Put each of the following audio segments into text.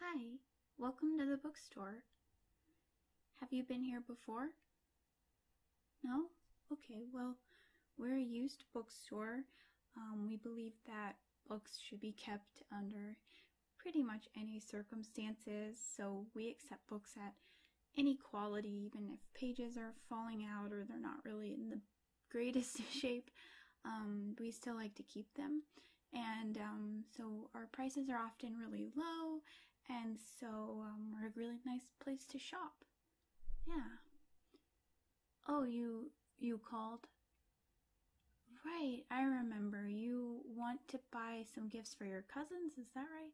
Hi, welcome to the bookstore. Have you been here before? No? Okay, well, we're a used bookstore. Um, we believe that books should be kept under pretty much any circumstances, so we accept books at any quality, even if pages are falling out or they're not really in the greatest shape. Um, we still like to keep them and um, so our prices are often really low and so um, we're a really nice place to shop yeah oh you you called right i remember you want to buy some gifts for your cousins is that right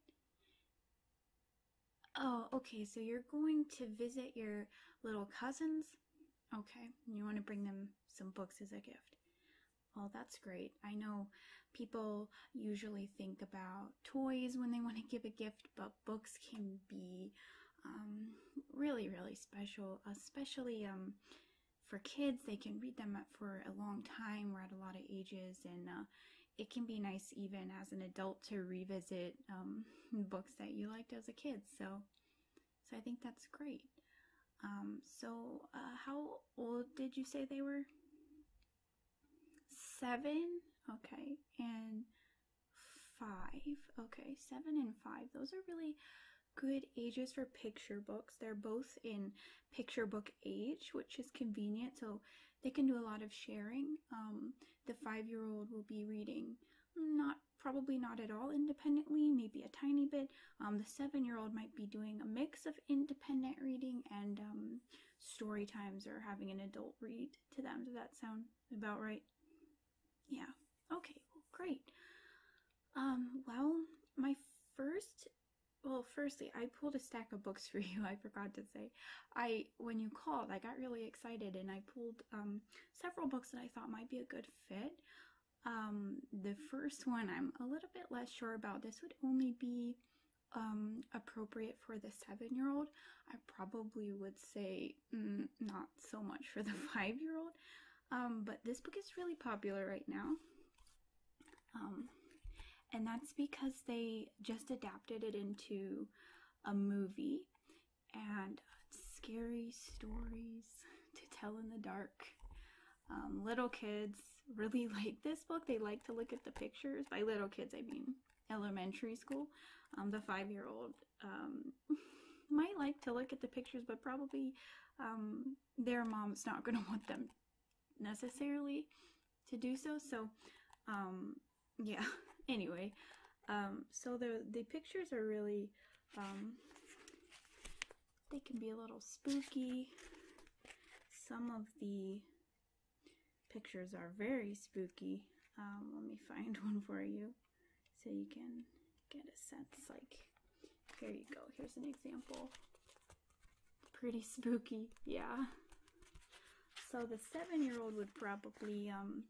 oh okay so you're going to visit your little cousins okay you want to bring them some books as a gift well, oh, that's great. I know people usually think about toys when they want to give a gift, but books can be um, really, really special, especially um, for kids. They can read them for a long time or at a lot of ages, and uh, it can be nice even as an adult to revisit um, books that you liked as a kid. So, so I think that's great. Um, so, uh, how old did you say they were? Seven? Okay. And five. Okay, seven and five. Those are really good ages for picture books. They're both in picture book age, which is convenient, so they can do a lot of sharing. Um, the five year old will be reading not probably not at all independently, maybe a tiny bit, um, the seven year old might be doing a mix of independent reading and um, story times or having an adult read to them. Does that sound about right? Yeah. Okay, great. Um, well, my first well firstly i pulled a stack of books for you i forgot to say i when you called i got really excited and i pulled several books that i thought might be a good fit um, the first one, I'm a little bit less sure about. This would only be um, appropriate for the seven year old. I probably would say mm, not so much for the five year old. Um, but this book is really popular right now. and that's because they just adapted it into a movie and scary stories to tell in the dark. Um, little kids really like this book. They like to look at the pictures. By little kids, I mean elementary school. Um, the five year old um, might like to look at the pictures, but probably their mom's not going to want them necessarily to do so. So, yeah, anyway, so the, the pictures are really um, they can be a little spooky. Some of the pictures are very spooky. Um, let me find one for you so you can get a sense. Like, here you go. Here's an example. Pretty spooky, yeah. So the seven-year-old would probably um,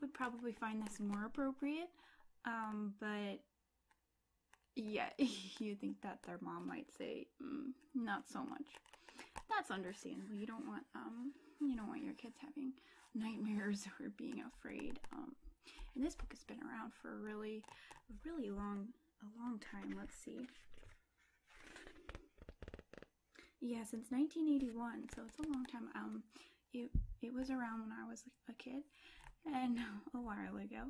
would probably find this more appropriate, um, but yeah, you think that their mom might say, mm, not so much. That's understandable. You don't want um you don't want your kids having nightmares or being afraid. Um and this book has been around for a really really long a long time. Let's see. Yeah, since 1981, so it's a long time. Um it it was around when I was a kid and a while ago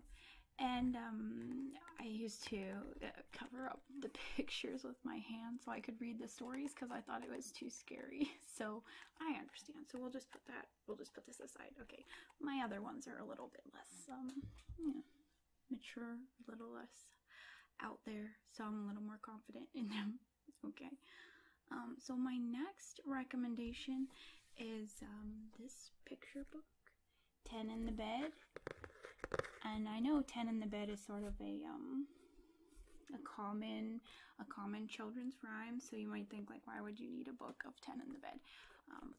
and um, i used to uh, cover up the pictures with my hand so i could read the stories because i thought it was too scary so i understand so we'll just put that we'll just put this aside okay my other ones are a little bit less um mature a little less out there so i'm a little more confident in them okay um, so my next recommendation is um, this picture book, Ten in the Bed. And I know Ten in the Bed is sort of a um, a common a common children's rhyme. So you might think like, why would you need a book of Ten in the Bed?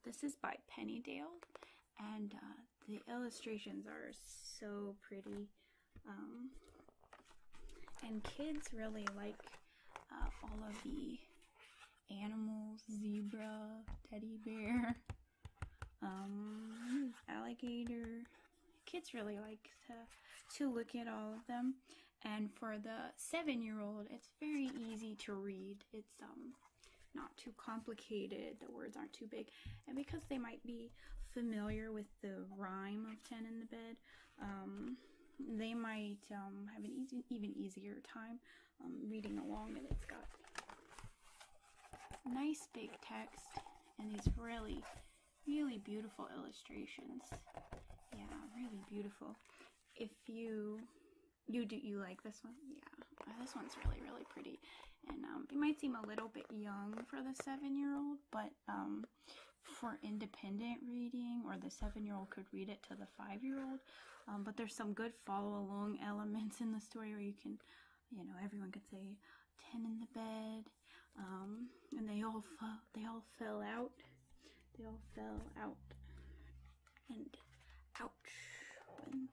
this is by Penny Dale, and uh, the illustrations are so pretty. and kids really like uh, all of the animals, zebra, teddy bear, um, alligator. Kids really like to, to look at all of them. And for the seven-year-old, it's very easy to read. It's um, not too complicated, the words aren't too big. And because they might be familiar with the rhyme of Ten in the Bed, um, they might um, have an easy, even easier time um, reading along and it's got nice big text and these really really beautiful illustrations yeah really beautiful if you you do you like this one yeah uh, this one's really really pretty and um, it might seem a little bit young for the seven year old but um, for independent reading or the seven year old could read it to the five year old. Um, but there's some good follow along elements in the story where you can, you know, everyone could say, 10 in the bed um, and they all fell. they all fell out they all fell out and ouch when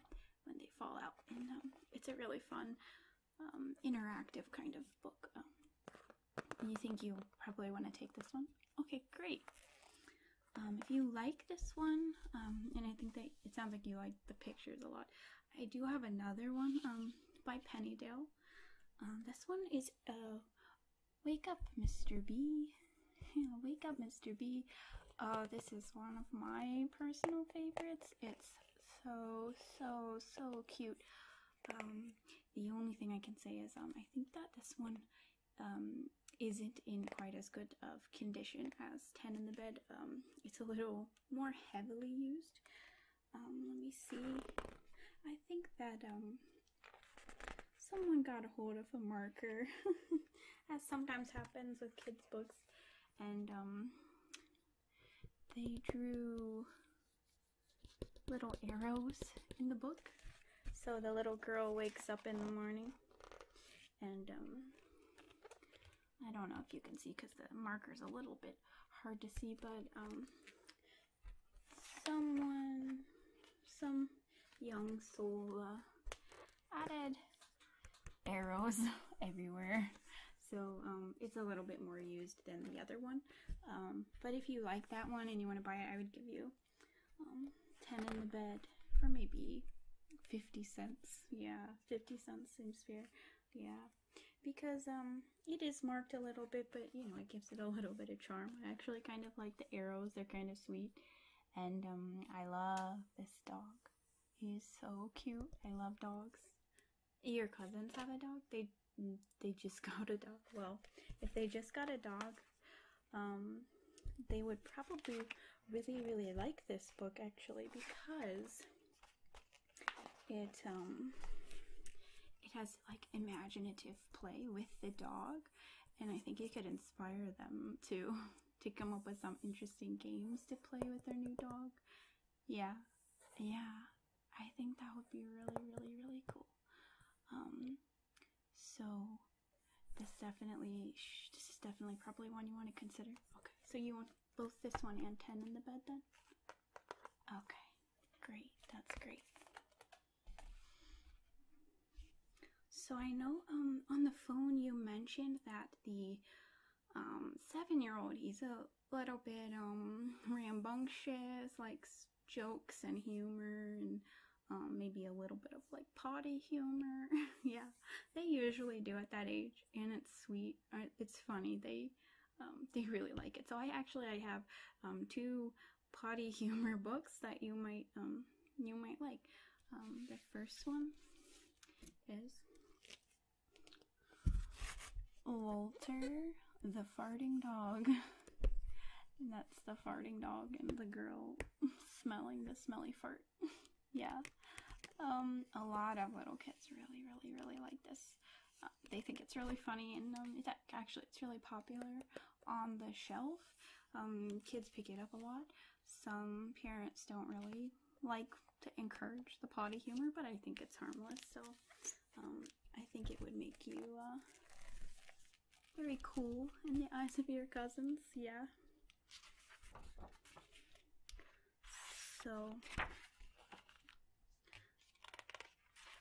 when they fall out and um, it's a really fun interactive kind of book you think you probably want to take this one? Okay, great. Um, if you like this one, um, and I think that it sounds like you like the pictures a lot, I do have another one um, by Penny Dale. this one is Wake Up Mr. B. Wake Up Mr. B. Uh, this is one of my personal favorites. It's so, so, so cute. the only thing I can say is um, I think that this one um, isn't in quite as good of condition as 10 in the bed. Um, it's a little more heavily used. Um, let me see. I think that um, someone got a hold of a marker, as sometimes happens with kids' books, and um, they drew little arrows in the book so the little girl wakes up in the morning and um, I don't know if you can see because the marker's a little bit hard to see, but um, someone, some young soul uh, added arrows everywhere. So um, it's a little bit more used than the other one. but if you like that one and you want to buy it, I would give you um, 10 in the bed for maybe 50 cents. Yeah, 50 cents seems fair. Yeah, because um, it is marked a little bit, but you know, it gives it a little bit of charm. I actually kind of like the arrows, they're kind of sweet. And um, I love this dog. He's so cute. I love dogs. Your cousins have a dog? They they just got a dog. Well, if they just got a dog, um, they would probably really, really like this book actually because it um, it has like imaginative play with the dog, and I think it could inspire them to to come up with some interesting games to play with their new dog. Yeah, yeah, I think that would be really, really, really cool. Um, so this definitely, this is definitely probably one you want to consider. Okay, so you want both this one and 10 in the bed then? Okay, great, that's great. So I know um, on the phone you mentioned that the um, seven-year-old he's a little bit um, rambunctious, like jokes and humor and um, maybe a little bit of like potty humor. yeah, they usually do at that age, and it's sweet. Uh, it's funny. They um, they really like it. So I actually I have um, two potty humor books that you might um, you might like. the first one is Walter the farting dog. and that's the farting dog and the girl Smelling the smelly fart. yeah. Um, a lot of little kids really, really, really like this. Uh, they think it's really funny, and um, actually it's really popular on the shelf. Um, kids pick it up a lot. Some parents don't really like to encourage the potty humor, but I think it's harmless. So um, I think it would make you uh, very cool in the eyes of your cousins, yeah. So,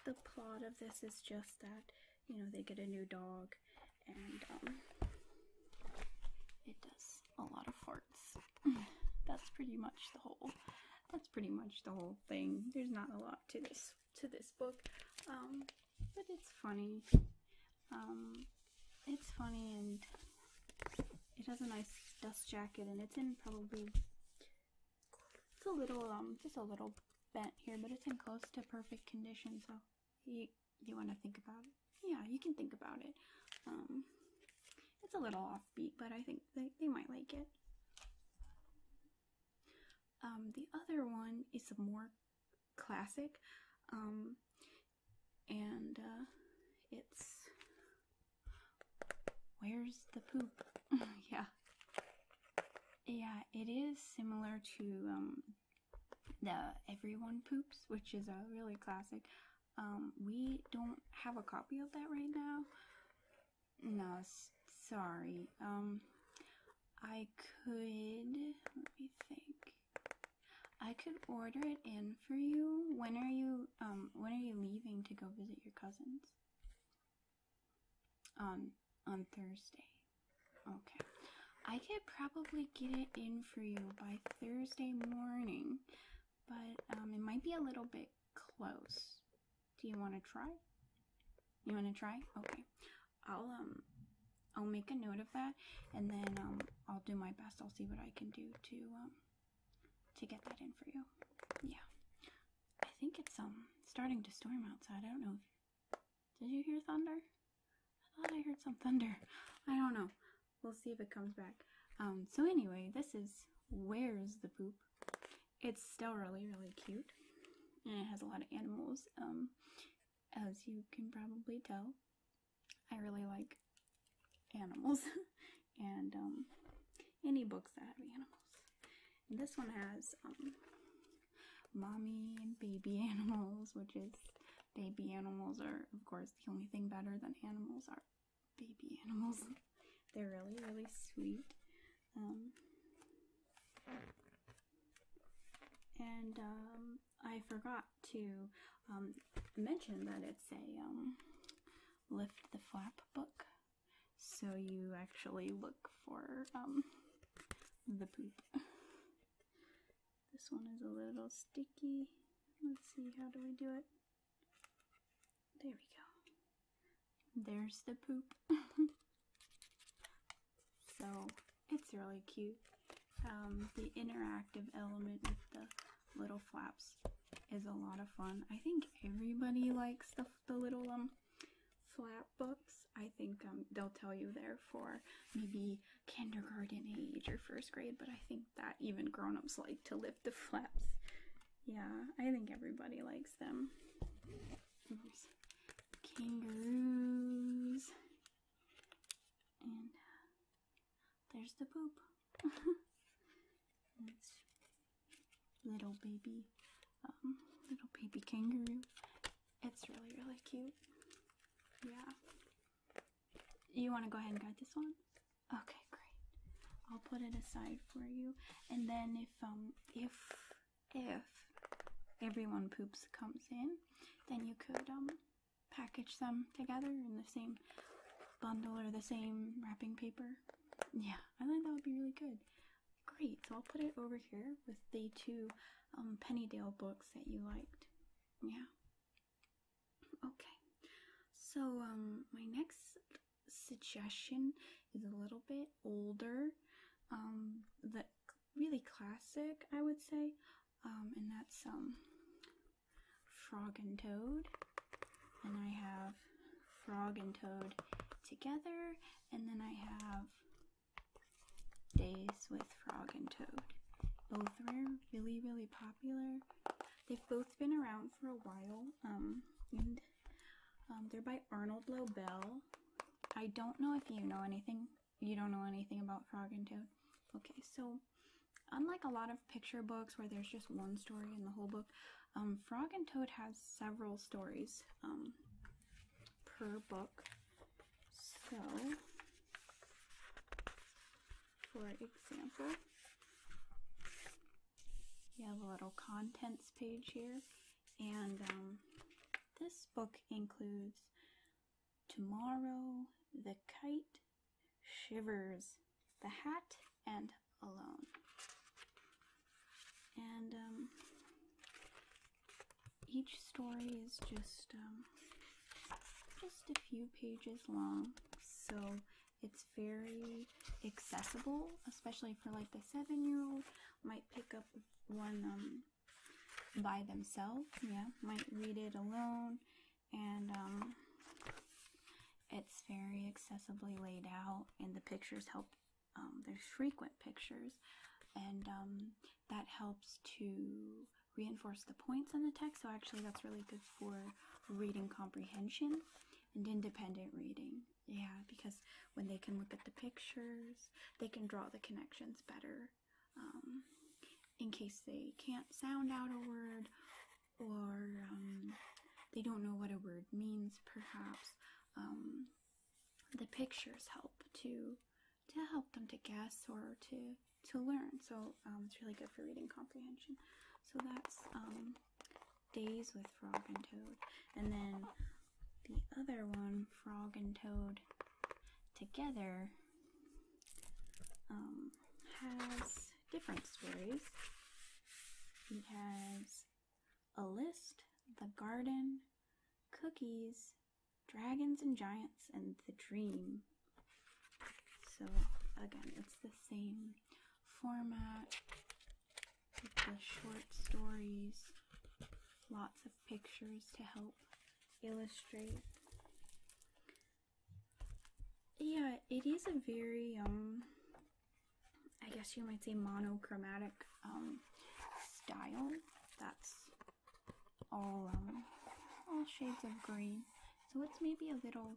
the plot of this is just that, you know, they get a new dog and um, it does a lot of farts. that's pretty much the whole that's pretty much the whole thing. There's not a lot to this to this book. Um, but it's funny um, it's funny and it has a nice dust jacket and it's in probably it's a little um just a little bent here but it's in close to perfect condition so you you want to think about it yeah you can think about it um it's a little offbeat but i think they, they might like it um the other one is a more classic. Um, and uh, it's Where's the Poop? yeah. Yeah, it is similar to um, the Everyone Poops, which is a really classic. Um, we don't have a copy of that right now. No, sorry. I could, let me think. I could order it in for you. When are you um when are you leaving to go visit your cousins? On um, on Thursday. Okay. I could probably get it in for you by Thursday morning, but um it might be a little bit close. Do you want to try? You want to try? Okay. I'll um I'll make a note of that and then um I'll do my best. I'll see what I can do to um to get that in for you. Yeah. I think it's um starting to storm outside. I don't know did you hear thunder? I thought I heard some thunder. I don't know. We'll see if it comes back. Um so anyway, this is Where's the Poop? It's still really, really cute. And it has a lot of animals. Um as you can probably tell, I really like animals and um, any books that have animals. this one has um, mommy and baby animals, which is baby animals are, of course, the only thing better than animals are baby animals. They're really, really sweet. Um, and um, I forgot to um, mention that it's a um, lift the flap book, so you actually look for the poop. this one is a little sticky. Let's see, how do we do it? There we go. There's the poop. So it's really cute. Um, the interactive element with the little flaps is a lot of fun. I think everybody likes the, the little um, flap books. I think um, they'll tell you they're for maybe kindergarten age or first grade, but I think that even grown-ups like to lift the flaps. Yeah, I think everybody likes them. Kangaroos. And uh, there's the poop. little baby, um, little baby kangaroo. It's really, really cute. Yeah. You want to go ahead and guide this one? Okay, great. I'll put it aside for you. And then if um if if everyone poops comes in, then you could um, package them together in the same bundle or the same wrapping paper. Yeah, I think that would be really good. Great, so I'll put it over here with the two um, Pennydale books that you liked. Yeah. Okay, so um, my next suggestion is a little bit older, um, the really classic, I would say. Um, and that's um, frog and toad. And I have frog and toad together, and then I have days with frog and toad. Both were really, really popular. They've both been around for a while, um, um they're by Arnold Lobel. I don't know if you know anything you don't know anything about Frog and Toad. Okay, so unlike a lot of picture books where there's just one story in the whole book, um, Frog and Toad has several stories um, per book. So, for example, you have a little contents page here, and um, this book includes Tomorrow, the kite, shivers, the hat, and alone. And um, each story is just um, just a few pages long, so it's very accessible, especially for like the seven-year-old. Might pick up one um, by themselves. Yeah, might read it alone, and um, it's very accessibly laid out, and the pictures help. Um, there's frequent pictures, and um, that helps to reinforce the points in the text. So actually, that's really good for reading comprehension and independent reading. Yeah, because when they can look at the pictures, they can draw the connections better um, in case they can't sound out a word or um, they don't know what a word means perhaps um, the pictures help to to help them to guess or to to learn so it's really good for reading comprehension so that's days with frog and toad and then the other one frog and toad together um, has different stories. It has a list, the garden, cookies, dragons and giants, and the dream. So again, it's the same format with the short stories, lots of pictures to help illustrate. Yeah, it is a very, um, I guess you might say monochromatic um, style. That's all, um, all shades of green. So it's maybe a little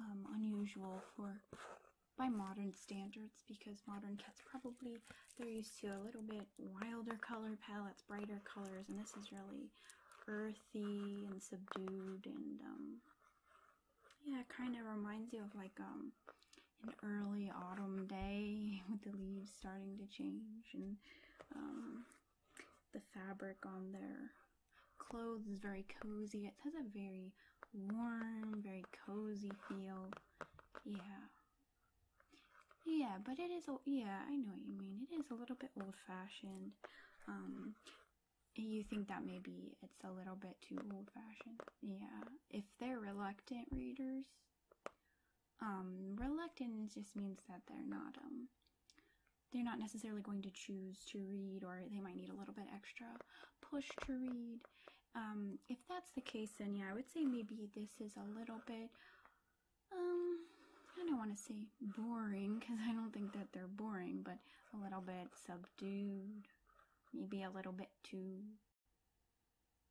um, unusual for by modern standards because modern cats probably they're used to a little bit wilder color palettes brighter colors and this is really very earthy and subdued and um, yeah it kind of reminds you of like um, an early autumn day with the leaves starting to change and um, the fabric on their clothes is very cozy it has a very warm very cozy feel yeah yeah, but it is, yeah, I know what you mean. It is a little bit old fashioned. Um, you think that maybe it's a little bit too old fashioned? Yeah. If they're reluctant readers, um, reluctant just means that they're not, um, they're not necessarily going to choose to read or they might need a little bit extra push to read. if that's the case, then yeah, I would say maybe this is a little bit um, I don't want to say boring because I don't think that they're boring, but a little bit subdued, maybe a little bit too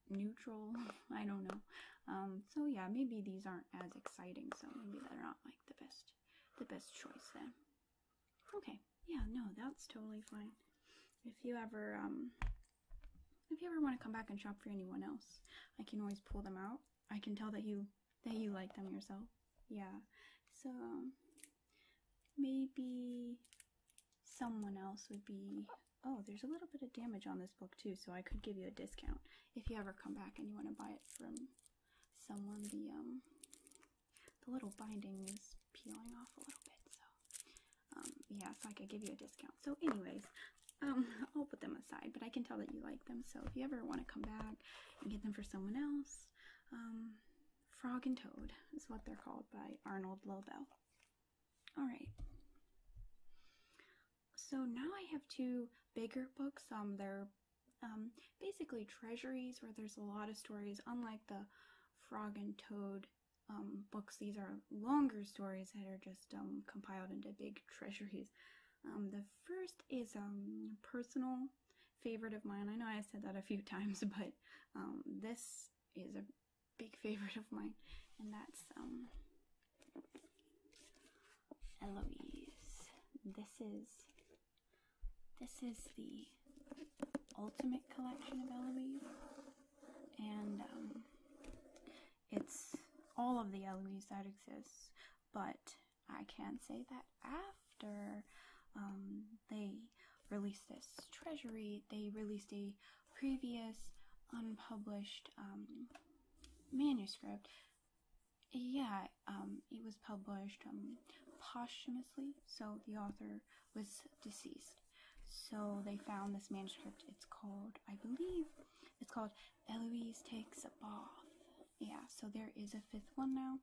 neutral. I don't know. Um, so yeah, maybe these aren't as exciting, so maybe they're not like the best, the best choice then. Okay, yeah, no, that's totally fine. If you ever, um, if you ever want to come back and shop for anyone else, I can always pull them out I can tell that you that you like them yourself. Yeah. So maybe someone else would be oh there's a little bit of damage on this book too so i could give you a discount if you ever come back and you want to buy it from someone the um the little binding is peeling off a little bit so um yeah so i could give you a discount so anyways um, I'll put them aside, but I can tell that you like them. So if you ever want to come back and get them for someone else, um, Frog and Toad is what they're called by Arnold Lobel. All right. So now I have two bigger books. Um, they're um, basically treasuries where there's a lot of stories. Unlike the Frog and Toad um, books, these are longer stories that are just um, compiled into big treasuries. Um, the first is um, a personal favorite of mine. I know I said that a few times, but um, this is a big favorite of mine, and that's um, Eloise. This is this is the ultimate collection of Eloise, and it's all of the Eloise that exists but I can say that after um, they released this treasury, they released a previous unpublished um, manuscript. Yeah, um, it was published posthumously, so the author was deceased. So they found this manuscript. It's called, I believe, it's called Eloise Takes a Bath. Yeah, so there is a fifth one now,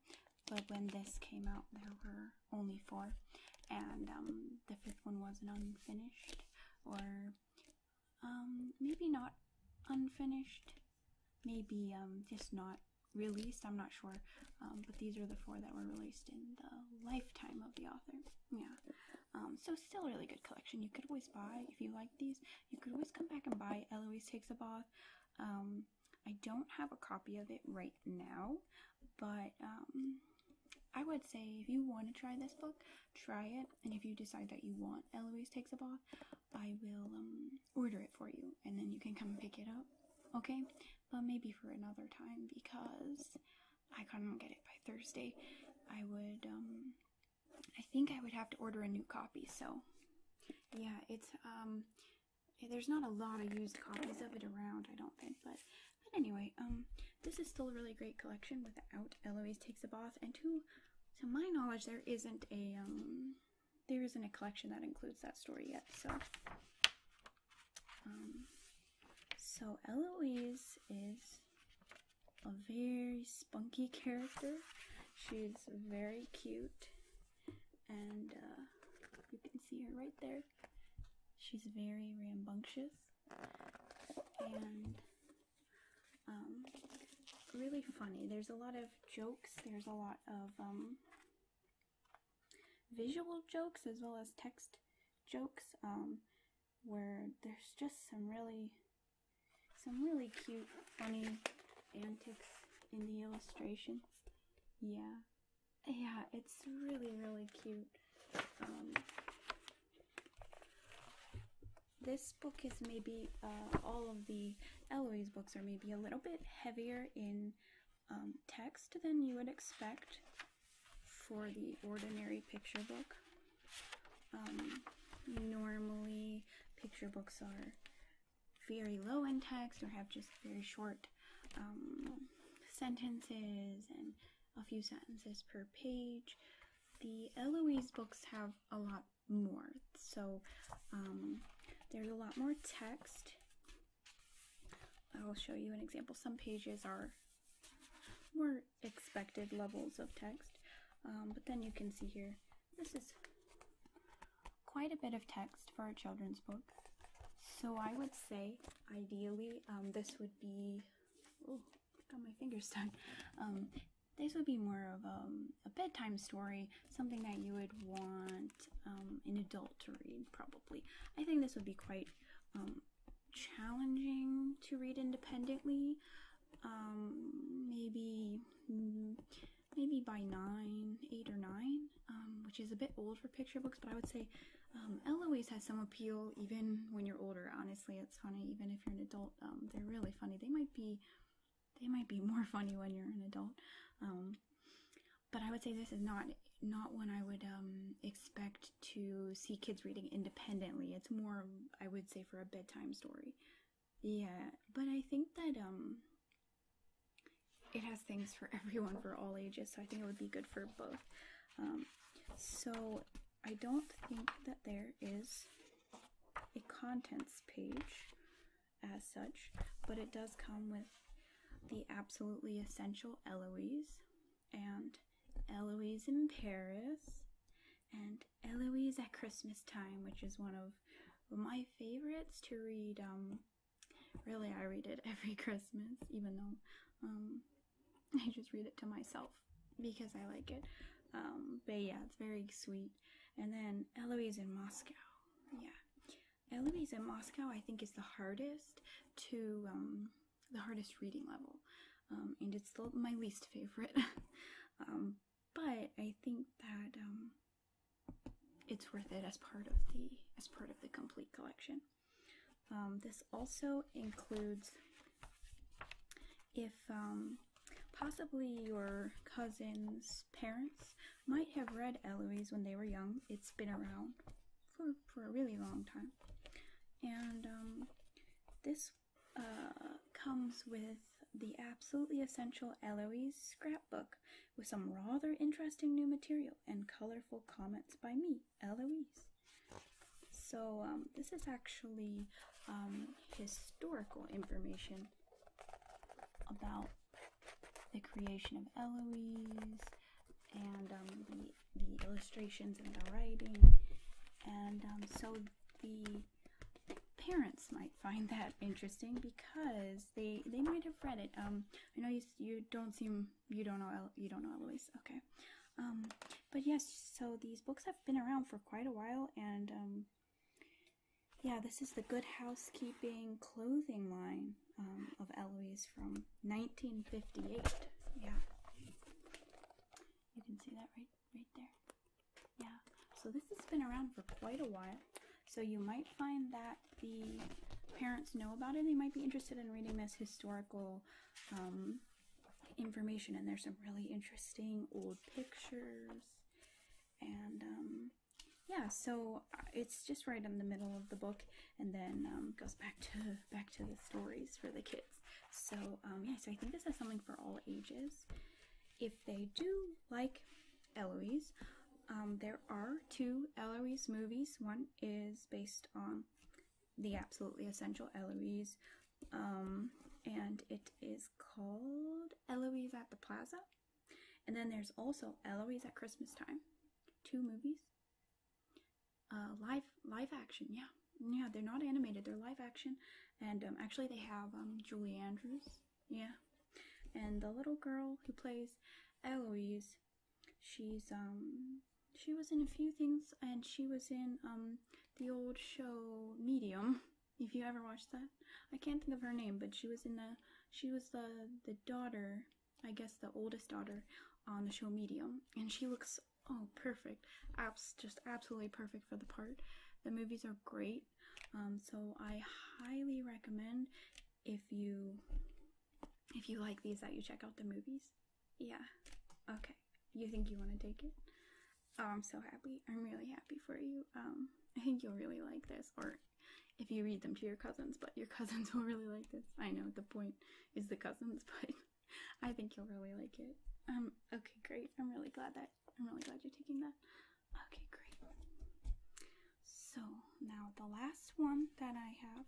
but when this came out, there were only four, and um, the fifth one wasn't unfinished, or um, maybe not unfinished, maybe um, just not released. I'm not sure, but these are the four that were released in the lifetime of the author. Yeah, so still a really good collection. You could always buy if you like these. You could always come back and buy Eloise Takes a Bath. Um, I don't have a copy of it right now, but um, I would say if you want to try this book, try it. And if you decide that you want Eloise Takes a Bath, I will um, order it for you and then you can come pick it up. Okay? But maybe for another time because I couldn't get it by Thursday. I would I think I would have to order a new copy. So, yeah, it's um, there's not a lot of used copies of it around, I don't think. But, but anyway, um, this is still a really great collection without Eloise Takes a Bath. And to to my knowledge, there isn't a um, there isn't a collection that includes that story yet. So, um, so Eloise is a very spunky character. She's very cute, and uh, you can see her right there. She's very rambunctious and um, really funny. There's a lot of jokes. There's a lot of um, visual jokes as well as text jokes um, where there's just some really some really cute, funny antics in the illustrations. Yeah. Yeah, it's really, really cute. Um, this book is maybe, uh, all of the Eloise books are maybe a little bit heavier in um, text than you would expect for the ordinary picture book. Um, normally, picture books are very low in text or have just very short um, sentences and a few sentences per page. The Eloise books have a lot more, so um, there's a lot more text. I'll show you an example. Some pages are more expected levels of text, but then you can see here this is quite a bit of text for a children's book. So I would say, ideally, um, this would be. Oh, got my fingers stuck. Um, this would be more of a, um, a, bedtime story, something that you would want um, an adult to read, probably. I think this would be quite um, challenging to read independently. Um, maybe maybe by nine, eight or nine, um, which is a bit old for picture books. But I would say um, Eloise has some appeal even when you're older. Honestly, it's funny even if you're an adult. they're really funny. They might be they might be more funny when you're an adult. but I would say this is not not when I would expect to see kids reading independently. It's more I would say for a bedtime story yeah but i think that um it has things for everyone for all ages so i think it would be good for both um, so i don't think that there is a contents page as such but it does come with the absolutely essential eloise and eloise in paris and Eloise at Christmas Time, which is one of my favorites to read. Um, really, I read it every Christmas, even though um, I just read it to myself because I like it. Um, but yeah, it's very sweet. And then Eloise in Moscow. Yeah. Eloise in Moscow, I think, is the hardest to, um, the hardest reading level. Um, and it's still my least favorite. Um, but I think that um, it's worth it as part of the as part of the complete collection. Um, this also includes if um, possibly your cousin's parents might have read Eloise when they were young. It's been around for, for a really long time. And this uh, comes with the absolutely essential Eloise scrapbook with some rather interesting new material and colorful comments by me, Eloise. So, um, this is actually um, historical information about the creation of Eloise and um, the illustrations and the writing. And so, the parents might find that interesting because they they might have read it. Um, I know you you don't seem you don't know you don't know Eloise. Okay, um, but yes, so these books have been around for quite a while, and um, yeah, this is the Good Housekeeping clothing line um, of Eloise from 1958. Yeah, you can see that right right there. Yeah, so this has been around for quite a while. So you might find that the parents know about it. They might be interested in reading this historical um, information, and there's some really interesting old pictures. And um, yeah, so uh, it's just right in the middle of the book, and then um, goes back to back to the stories for the kids. So yeah, so I think this has something for all ages. If they do like Eloise, um, there are two Eloise movies. One is based on the absolutely essential Eloise, um, and it is called Eloise at the Plaza. And then there's also Eloise at Christmas Time. Two movies. Uh, live action, yeah. Yeah, they're not animated, they're live action. And um, actually, they have Julie Andrews yeah. And the little girl who plays Eloise, she's um she was in a few things and she was in um the old show Medium, if you ever watched that. I can't think of her name, but she was in the she was the the daughter, I guess the oldest daughter on the show Medium, and she looks oh perfect. Abs just absolutely perfect for the part. The movies are great. Um, so I highly recommend if you if you like these that you check out the movies. Yeah. Okay. You think you want to take it? Oh, I'm so happy. I'm really happy for you. Um, I think you'll really like this, or if you read them to your cousins, but your cousins will really like this. I know the point is the cousins, but I think you'll really like it. Um, okay, great. I'm really glad that I'm really glad you're taking that. Okay, great. So now the last one that I have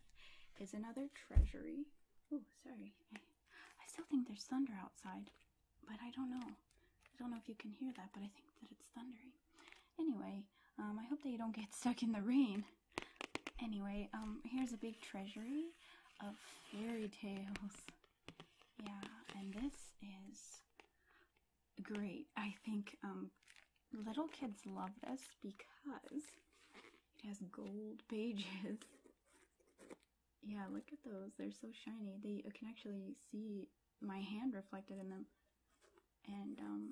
is another treasury. Oh, sorry. I, still think there's thunder outside, but I don't know. I don't know if you can hear that, but I think that it's thundering. Anyway, um, I hope that you don't get stuck in the rain. Anyway, um, here's a big treasury of fairy tales. Yeah, and this is great. I think um, little kids love this because it has gold pages. Yeah, look at those. They're so shiny. They can actually see my hand reflected in them. And um,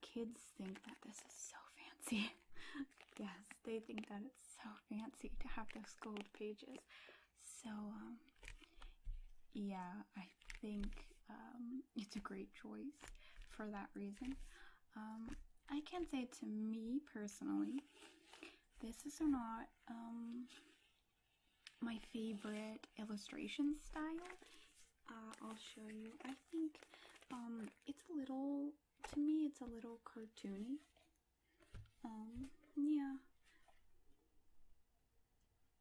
kids think that this is so fancy. yes, they think that it's so fancy to have those gold pages. So, um, yeah, I think um, it's a great choice for that reason. Um, I can say to me personally, this is not my favorite illustration style. Uh, I'll show you. I think it's a little, to me, it's a little cartoony. Um, yeah.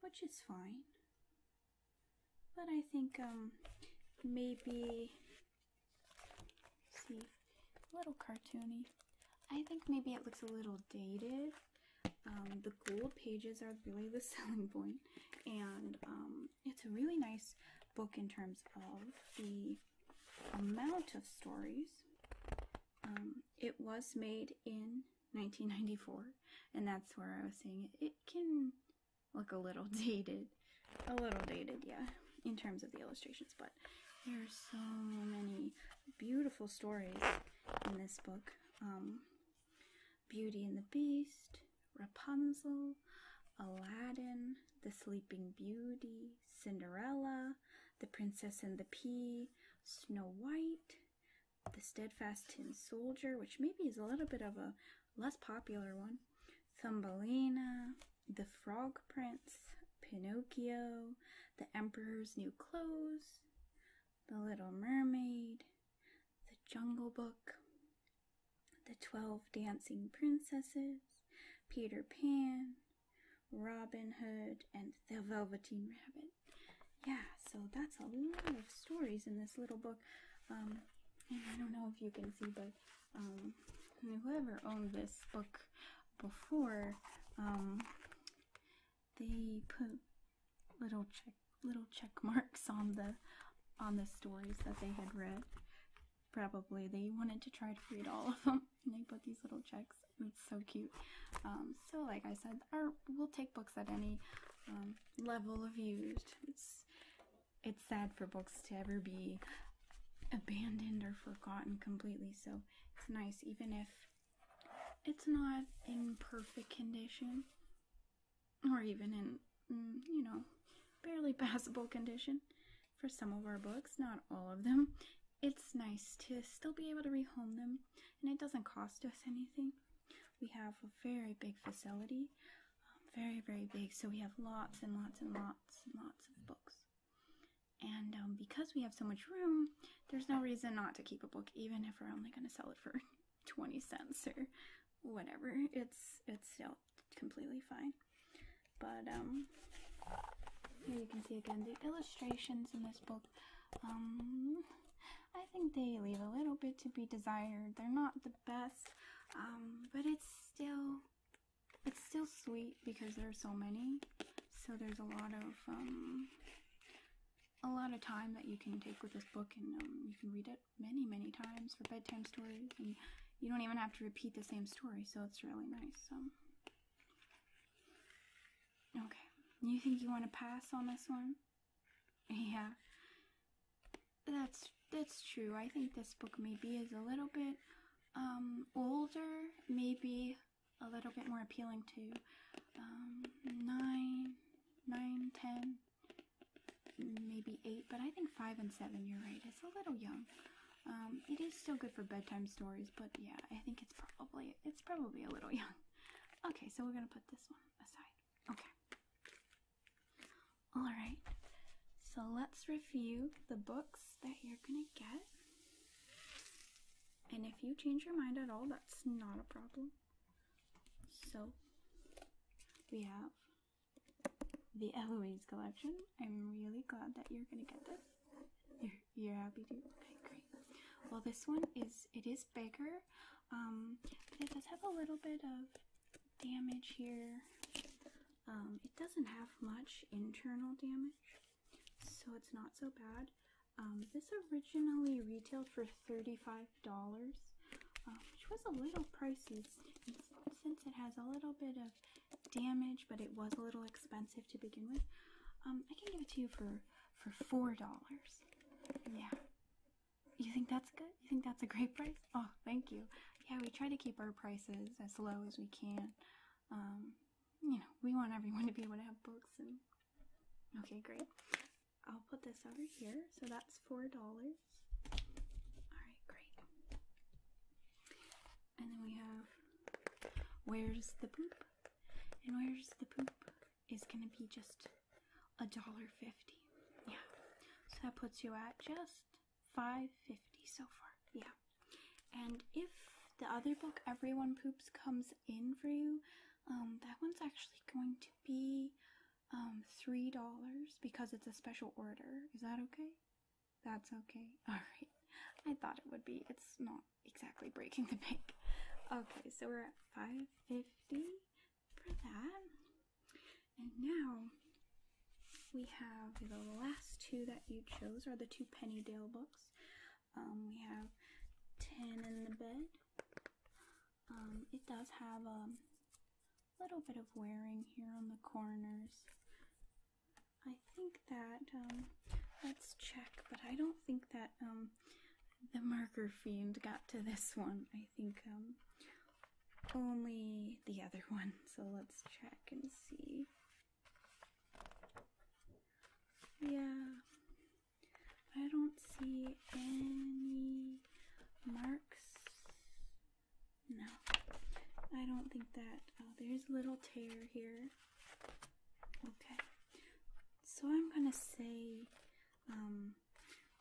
Which is fine. But I think, um, maybe... see. A little cartoony. I think maybe it looks a little dated. Um, the gold pages are really the selling point, and um, it's a really nice book in terms of the amount of stories. Um, it was made in 1994, and that's where I was saying it, can look a little dated. A little dated, yeah, in terms of the illustrations, but there are so many beautiful stories in this book. Um, Beauty and the Beast, Rapunzel, Aladdin, The Sleeping Beauty, Cinderella, The Princess and the Pea, Snow White, the Steadfast Tin Soldier, which maybe is a little bit of a less popular one. Thumbelina, The Frog Prince, Pinocchio, The Emperor's New Clothes, The Little Mermaid, The Jungle Book, The Twelve Dancing Princesses, Peter Pan, Robin Hood, and The Velveteen Rabbit. Yeah, so that's a lot of stories in this little book. Um, and I don't know if you can see, but um, whoever owned this book before, um, they put little check little check marks on the on the stories that they had read. Probably they wanted to try to read all of them, and they put these little checks. It's so cute. Um, so, like I said, we'll take books at any um, level of used. It's it's sad for books to ever be abandoned or forgotten completely. So it's nice, even if it's not in perfect condition, or even in mm, you know barely passable condition. For some of our books, not all of them, it's nice to still be able to rehome them and it doesn't cost us anything. We have a very big facility, um, very, very big, so we have lots and lots and lots and lots of books. And um, because we have so much room, there's no reason not to keep a book, even if we're only going to sell it for 20 cents or whatever. It's it's still completely fine. But um, here you can see again the illustrations in this book um, I think they leave a little bit to be desired. They're not the best, um, but it's still it's still sweet because there are so many. So there's a lot of um, a lot of time that you can take with this book, and um, you can read it many, many times for bedtime stories, and you don't even have to repeat the same story. So it's really nice. Um, Okay. You think you want to pass on this one? Yeah. That's that's true. I think this book maybe is a little bit um, older, maybe a little bit more appealing to um, nine, nine, ten, maybe eight. But I think five and seven. You're right. It's a little young. Um, it is still good for bedtime stories, but yeah, I think it's probably it's probably a little young. Okay, so we're gonna put this one aside. Okay. Alright, so let's review the books that you're gonna get. And if you change your mind at all, that's not a problem. So, we have the Eloise collection. I'm really glad that you're gonna get this. you you're happy too? Okay, great. Well, this one is, it is bigger, um, but it does have a little bit of damage here. Um, it doesn't have much internal damage, so it's not so bad. Um, this originally retailed for $35, uh, which was a little pricey. since it has a little bit of damage, but it was a little expensive to begin with, um, I can give it to you for for four dollars. Yeah. You think that's good? You think that's a great price? Oh, thank you. Yeah, we try to keep our prices as low as we can. Um, you know, we want everyone to be able to have books and okay, great. I'll put this over here. So that's four dollars. Alright, great. And then we have Where's the Poop? And where's the poop? is gonna be just a dollar fifty. Yeah. So that puts you at just five fifty so far. Yeah. And if the other book, Everyone Poops, comes in for you, um, that one's actually going to be um, three dollars because it's a special order. Is that okay? That's okay. All right. I thought it would be. It's not exactly breaking the bank. Okay, so we're at 550 for that. And now we have the last two that you chose are the two Penny Dale books. Um, we have 10 in the bed. Um, it does have a um, little bit of wearing here on the corners. I think that, let's check, but I don't think that the marker fiend got to this one. I think um, only the other one. So let's check and see. Yeah, I don't see any marks. No, I don't think that. Oh, there's a little tear here. Okay, so I'm gonna say um,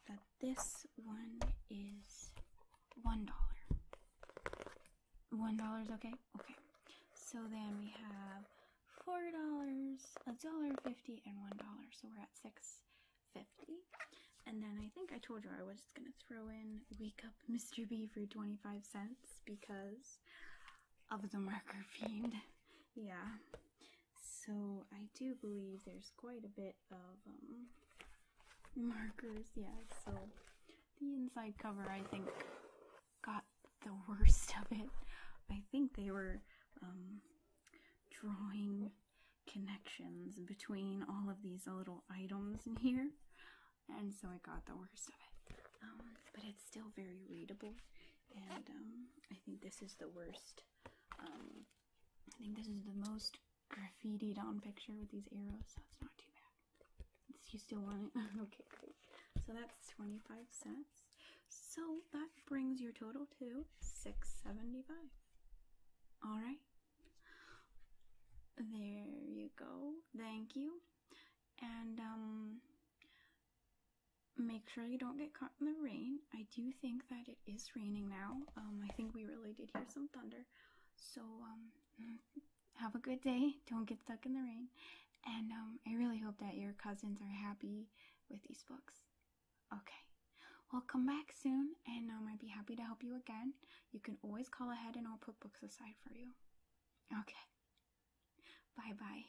that this one is one dollar. One dollar is okay? Okay. So then we have four dollars, a dollar fifty, and one dollar. So we're at six fifty. And then I think I told you I was just gonna throw in Wake Up Mr. B for 25 cents because of the marker fiend. Yeah. So I do believe there's quite a bit of um, markers. Yeah, so the inside cover I think got the worst of it. I think they were um, drawing connections between all of these little items in here, and so I got the worst of it. Um, but it's still very readable and um, I think this is the worst. Um, I think this is the most graffitied on picture with these arrows, so it's not too bad. you still want it? okay, great. So that's 25 cents. So that brings your total to 675. All right. There you go. Thank you. And um, make sure you don't get caught in the rain. I do think that it is raining now. Um, I think we really did hear some thunder. So um, have a good day. Don't get stuck in the rain. And um, I really hope that your cousins are happy with these books. Okay. Well, come back soon, and um, I'd be happy to help you again. You can always call ahead, and I'll put books aside for you. Okay. Bye bye.